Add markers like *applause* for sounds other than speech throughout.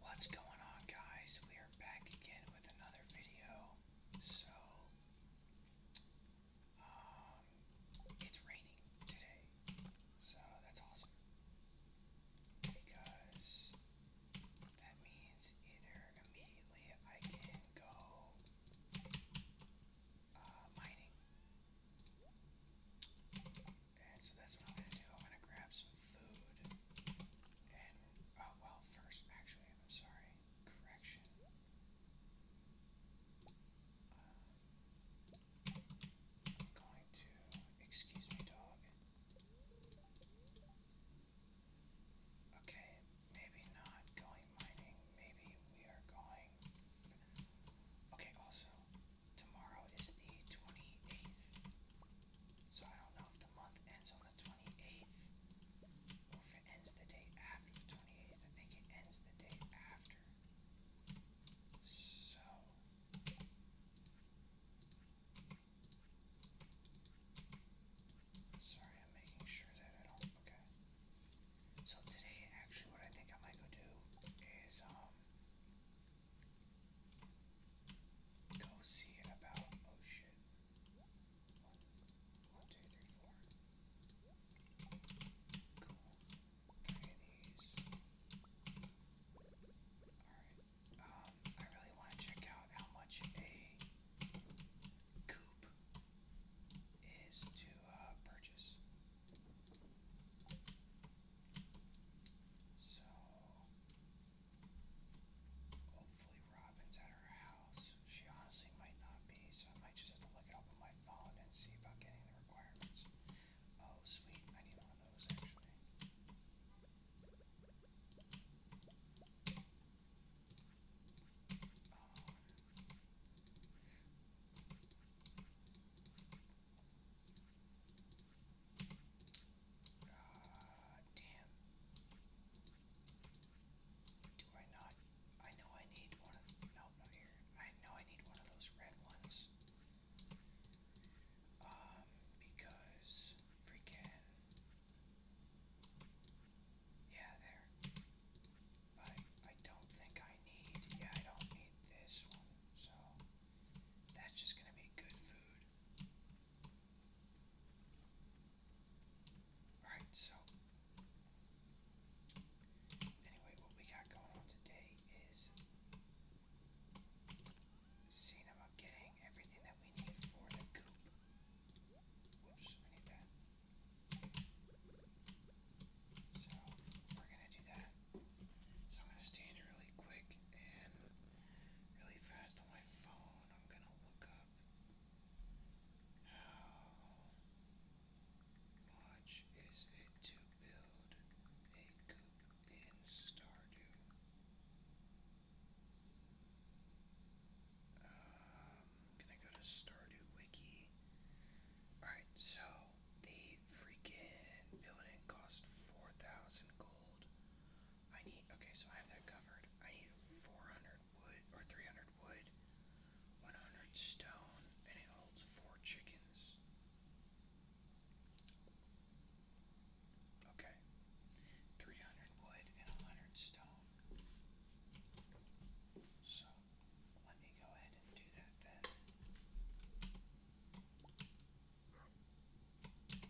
What's going on, guys? We are back again with another video. So, um, it's raining today, so that's awesome because that means either immediately I can go uh, mining so that's what I'm gonna do. I'm gonna grab some food. And, oh, well, first, actually, I'm sorry. Correction. Um, I'm going to, excuse me, dog. Okay, maybe not going mining. Maybe we are going. Okay, also, tomorrow is the 28th. So I don't know if the month ends on the 28th or if it ends the day after the 28th. I think it ends the day after. So. Sorry, I'm making sure that I don't. Okay. So today, actually, what I think I might go do is, um, Go see about oh shit. One, one, two, three, four. Cool. Three of these. Alright. Um, I really want to check out how much a coupe is to uh, purchase. So Hopefully Robin's at her house. She honestly might not be, so I might just have to look it up on my phone and see about getting the requirements. Oh, sweet. I need one of those, actually. Ah, damn. Do I not? I know I need one of. No, not here. I know I need one of those red ones. Um, because freaking. Yeah, there. But I don't think I need. Yeah, I don't need this one. So. That's just going to be good food. Alright, so. Anyway, what we got going on today is seeing getting everything that we need for the coop. Whoops, we need that. So, we're gonna do that. So I'm going to stand really quick and really fast on my phone. I'm going to look up how much is it to build a coop in Stardew? Um, going to go to Stardew Wiki. Alright, so the freaking building cost 4,000 I need, okay, so I have that covered. I need 400 wood, or 300 wood, 100 stone, and it holds four chickens. Okay. 300 wood and 100 stone. So, let me go ahead and do that then.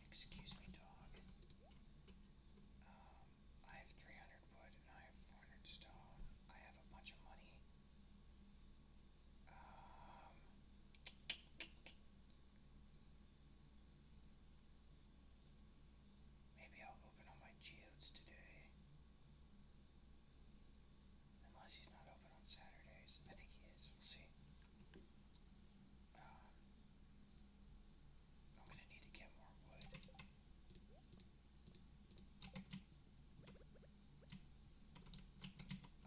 Excuse me, dog. Um, I have 300 wood and I have 400 stone. I have a bunch of money. Um, maybe I'll open all my geodes today. Unless he's not open on Saturdays. I think he is. We'll see. Um, I'm gonna need to get more wood.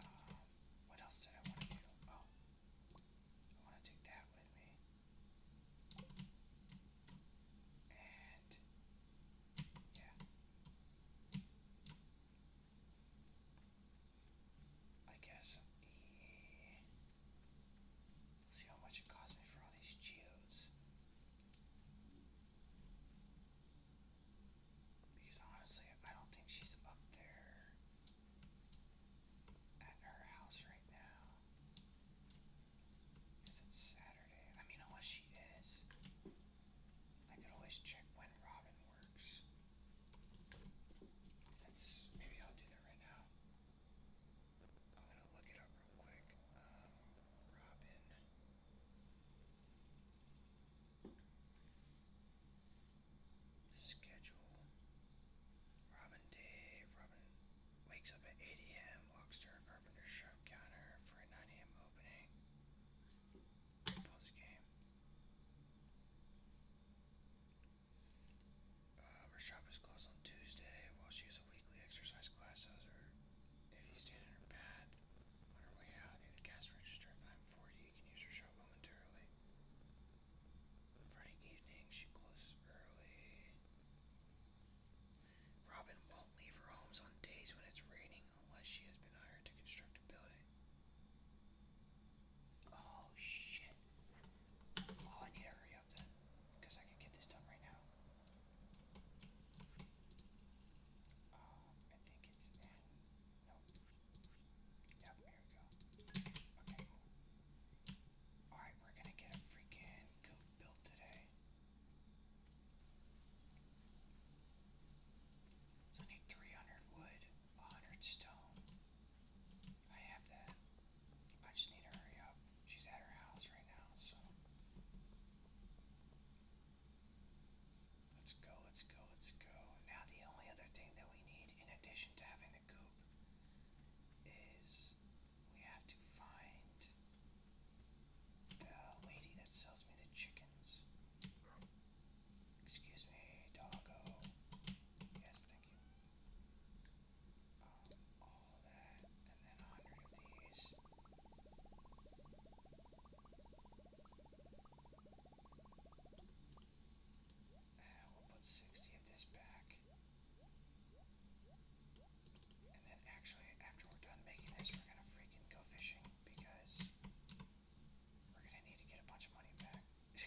Um, what else did I want to do? Oh, I want to take that with me. And yeah. I guess. see how much it cost me for all these geodes. Because honestly, I don't think she's up there at her house right now. Because it's Saturday. I mean, unless she is. I could always check when Robin works. that's maybe I'll do that right now. I'm gonna look it up real quick. Um, Robin. Schedule. Robin Day. Robin wakes up at 8 a.m., walks to her carpenter's shop counter for a 9 a.m. opening. Pause game. Uh, her shop is closed on Tuesday while she has a weekly exercise class. Or if you stand in her path on her way out near the cash register at 940, you can use her shop momentarily. Friday evening, she closes early. Robin won't leave her homes on days when it's raining unless she has been hired to construct a building. Oh shit. Oh, I need to hurry up then, because I can get this done right now. Um, I think it's in. Nope. Yep, here we go. Okay, Alright, we're gonna get a freaking goat built today. So I need 300 wood. Honored Stone. I have that. I just need to hurry up. She's at her house right now, so. Let's go, let's go, let's go. Now, the only other thing that we need, in addition to having the coop, is we have to find the lady that sells me the chickens. Excuse me, doggo. Yes, thank you. Um, all that, and then a hundred of these. And we'll put sixty of this back. And then actually, after we're done making this, we're gonna freaking go fishing because we're gonna need to get a bunch of money back. *laughs*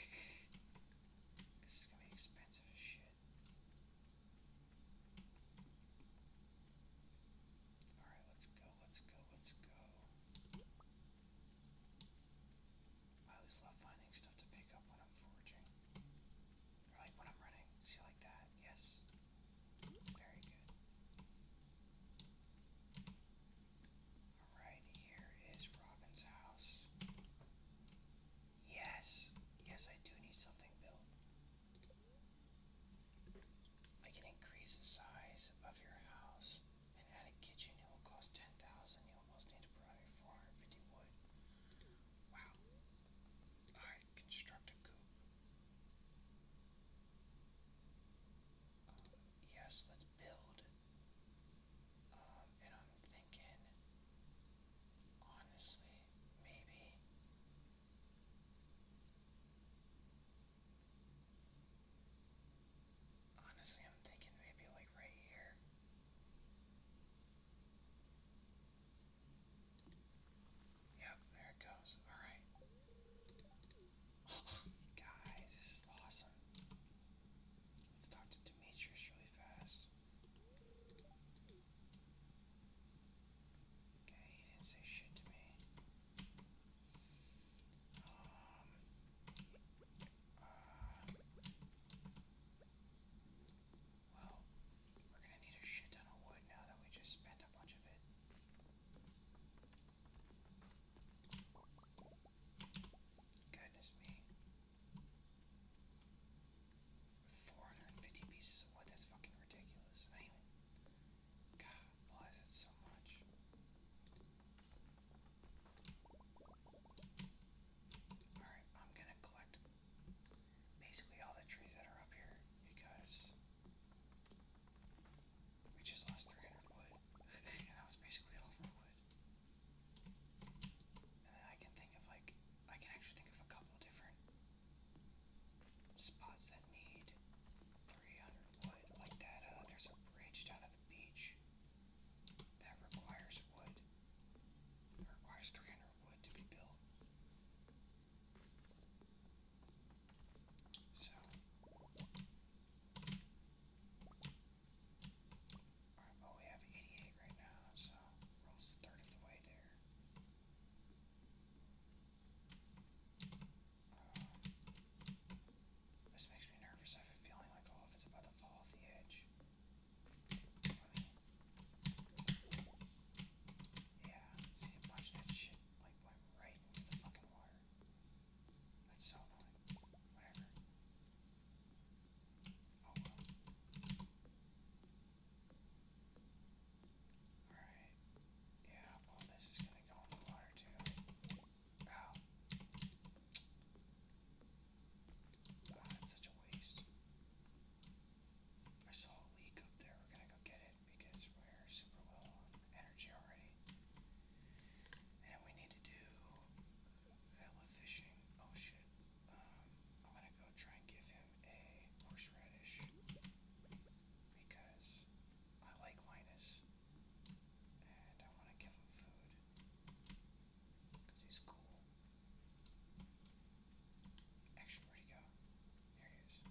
this is gonna be expensive as shit. Alright, let's go, let's go, let's go. I always love finding stuff to pick up when I'm foraging. Or like when I'm running. See, like that? Yes. Very good. Alright, here is Robin's house. Yes! Yes, I do need something built. I can increase the size of your house and add a kitchen. It will cost 10,000. You almost need to provide 450 wood. Wow. Alright, construct a coop. Um, yes, let's build. Um, and I'm thinking, honestly, maybe honestly I'm thinking maybe like right here. Yep, there it goes. Alright. *laughs* Guys, this is awesome. Let's talk to Demetrius really fast. Okay, he didn't say shit to me. Um, uh, well, we're gonna need a shit ton of wood now that we just spent a bunch of it. Goodness me. 450 pieces of wood, that's fucking ridiculous. I even. God it so much. Alright, I'm gonna collect basically all the trees that are up here because we just lost 300 wood. and *laughs* that was basically all for wood. I can think of like, I can actually think of a couple different spots that need 300 wood. Like that, uh, there's a bridge down at the beach that requires wood. It requires 300 wood to be built. So, Alright, oh, we have 88 right now, so rolls the third of the way there. Uh, this makes me nervous. I have a feeling like all of it's about to fall off the edge. Yeah, see a bunch that shit like went right into the fucking water. That's so annoying. Alright. Yeah, well, this is gonna go in the water too. Ow. Wow, that's such a waste. I saw a leak up there. We're gonna go get it because we're super low on energy already. And we need to do Oh shit. Um, I'm gonna go try and give him a horseradish because I like Linus and I want to give him food because he's cool. Actually, where'd he go? There he is.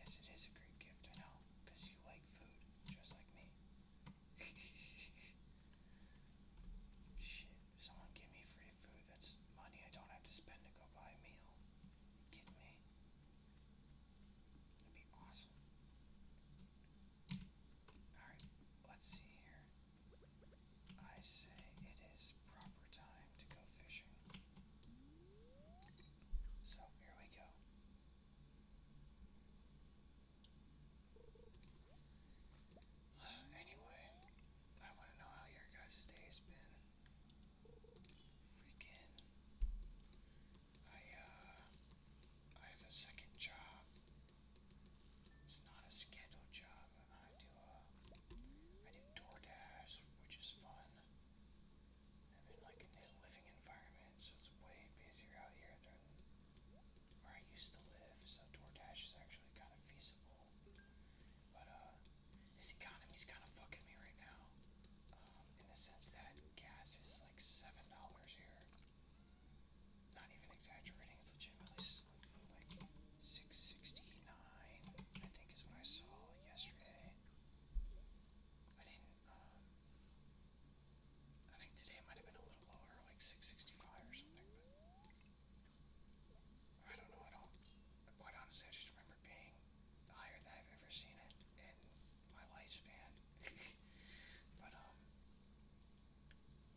Yes, it is a great gift, I know, because you like food just like me. Shit, someone give me free food. That's money I don't have to spend to go buy a meal. Are me? That'd be awesome. Alright, let's see here. I say it is proper time to go fishing. So here we go. Anyway, I want to know how your guys' day has been. Freaking. I, uh. I have a second job. It's not a scheduled job. I do, uh. do DoorDash, which is fun. I'm in like a living environment, so it's way busier out here than where I used to live, so DoorDash is actually kind of feasible. But uh, this economy's kind of fucking me right now, um, in the sense that gas is like seven dollars here. Not even exaggerating; it's legitimately like six sixty nine. I think is what I saw yesterday. I didn't I think today might have been a little lower, like 665 or something, I don't know at all. Quite honestly, I just remember being higher than I've ever seen it in my lifespan. *laughs* but, um,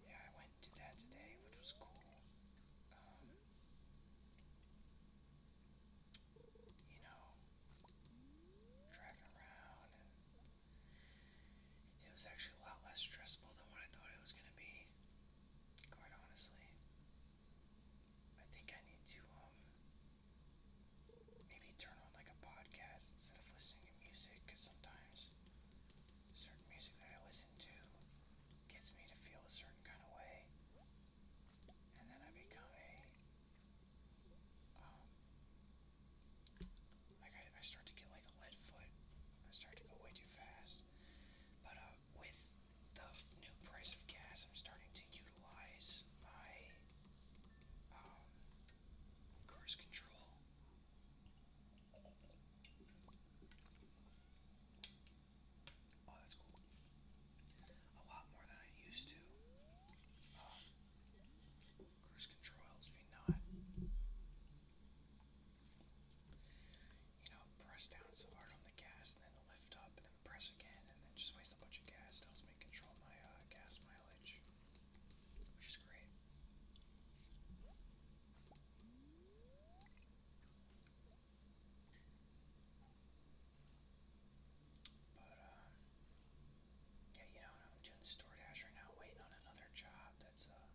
yeah, I went and that today, which was cool. Um, you know, driving around it was actually a lot less stressful than what I thought it was going to be, quite honestly. I think I need to, um, maybe turn on like a podcast instead of listening to music, because sometimes certain music that I listen to gets me to feel a certain kind of way, and then I become a um, I, I start to get like a lead foot. I start to go way too fast. But uh, with the new price of gas, I'm starting to utilize my um, cruise control. Oh, a lot more than I used to. Um, Cruise control helps me not, you know, press down so hard on the gas and then lift up and then press again and then just waste a bunch of gas. It helps me control my uh, gas mileage, which is great. But, um, yeah, you know, I'm doing the DoorDash right now, waiting on another job that's uh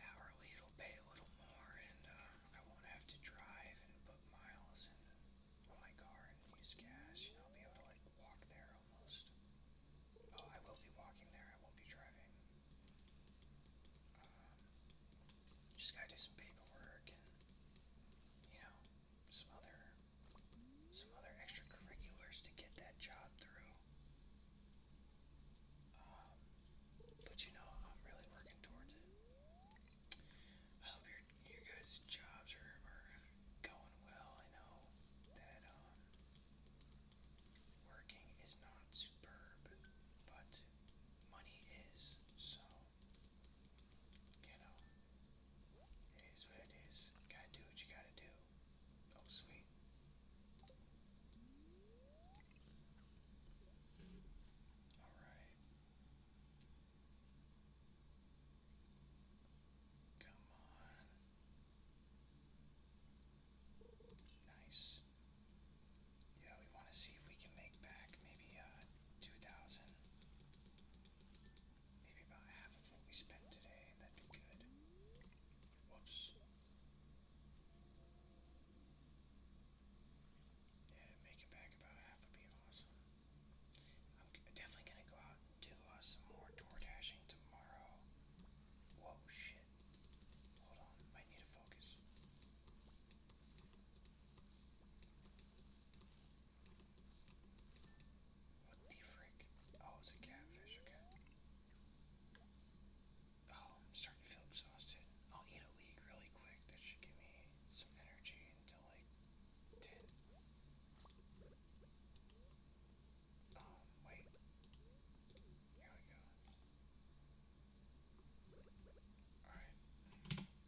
hourly. It'll pay a little more, and uh, I won't have to drive and put miles in on my car and use gas. You know, I'll be able to like walk there almost. Oh, I will be walking there. I won't be driving. Um, just gotta do some paperwork and you know some other some other extracurriculars to get that job through. Um, but you know, I'm really working towards it. I hope your your guys' jobs are, are going well. I know that um, working is not superb, but money is. So you know, it is what it is. gotta do what you gotta do. Oh, sweet. Alright. Come on. Nice. Yeah, we want to see if we can make back maybe uh, 2,000. Maybe about half of what we spent today. That'd be good. Whoops. Yeah, make it back about half would be awesome. I'm definitely gonna go out and do uh, some more door dashing tomorrow. Whoa, shit. Hold on, might need to focus. What the frick? Oh, it's a catfish, okay. Oh, I'm starting to feel exhausted. I'll eat a leek really quick. That should give me some energy until like 10. Um, wait. Here we go. Alright.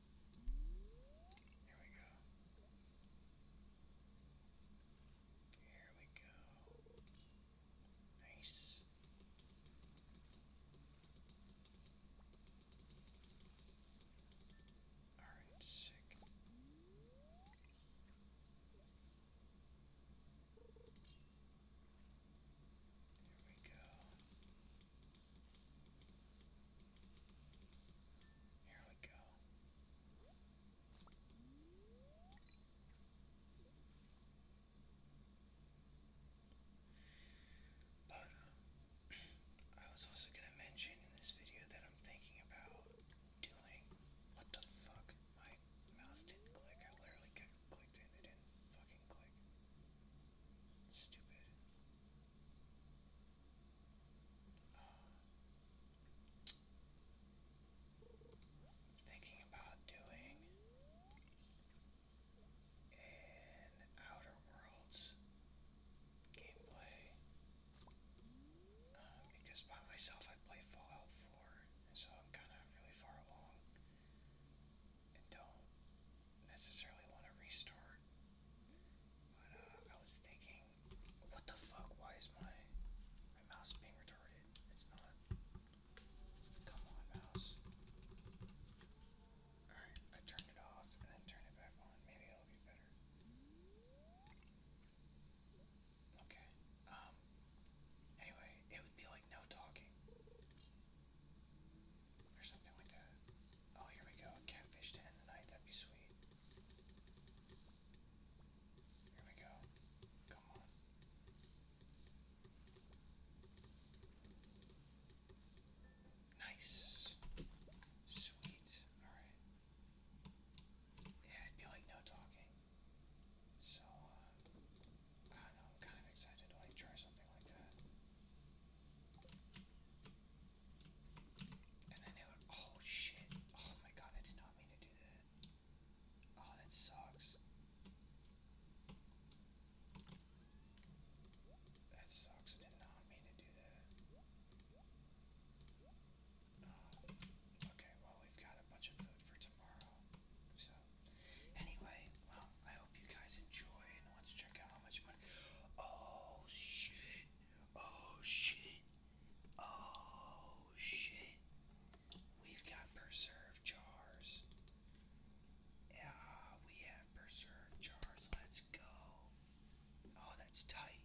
Here we go. Here we go. Nice. Alright, sick. Here we go. Here we go. But *clears throat* I was also gonna mention in this video that I'm thinking about doing. What the fuck? My mouse didn't click. I literally clicked and it didn't fucking click. Stupid. I'm thinking about doing an Outer Worlds gameplay um, because by myself I play Fallout 4, and so I'm kind of really far along and don't necessarily want to restart. But uh, I was thinking what the fuck? Why is my my mouse being retarded? It's not. Come on, mouse. Alright, I turned it off and then turned it back on. Maybe it'll be better. Okay. Um anyway, it would be like no talking. Or something like that. Oh, here we go. catfish to That'd be sweet. Here we go. Come on. Nice. Sweet. Alright. Yeah, it'd be like no talking. So, uh, I don't know, I'm kind of excited to like try something like that. Oh shit. Oh my god, I did not mean to do that. Oh, that sucks. That sucks. I did not mean to do that. Uh, okay, well, we've got a bunch of food for tomorrow. So, anyway, well, I hope you guys enjoy and want to check out how much money. Oh, shit. Oh shit. Oh shit. We've got preserved jars. Yeah, we have preserved jars. Let's go. Oh, that's tight.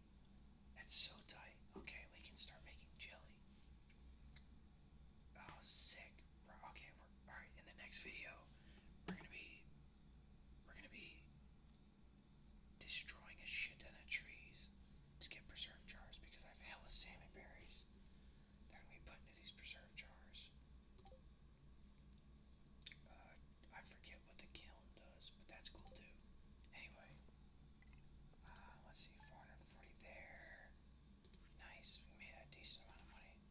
That's so tight. Okay, we can start making jelly. Oh, sick. Okay, we're all right. In the next video, we're gonna be, we're gonna be destroying a shit ton of trees to get preserve jars because I have hella salmon berries. They're gonna be put into these preserve jars. Uh, I forget what the kiln does, but that's cool too. Anyway, uh, let's see, 440 there. Nice, we made a decent amount of money. I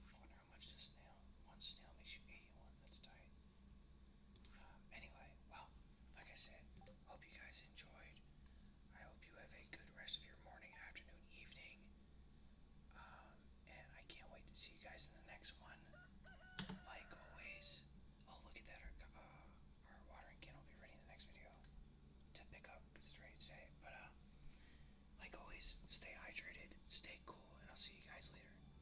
wonder how much this snail, one snail makes you 81, that's tight anyway, well, like I said, hope you guys enjoyed. I hope you have a good rest of your morning, afternoon, evening. Um, and I can't wait to see you guys in the next one. Like always, oh look at that, our, uh, watering can will be ready in the next video to pick up because it's ready today. But uh, like always, stay hydrated, stay cool, and I'll see you guys later.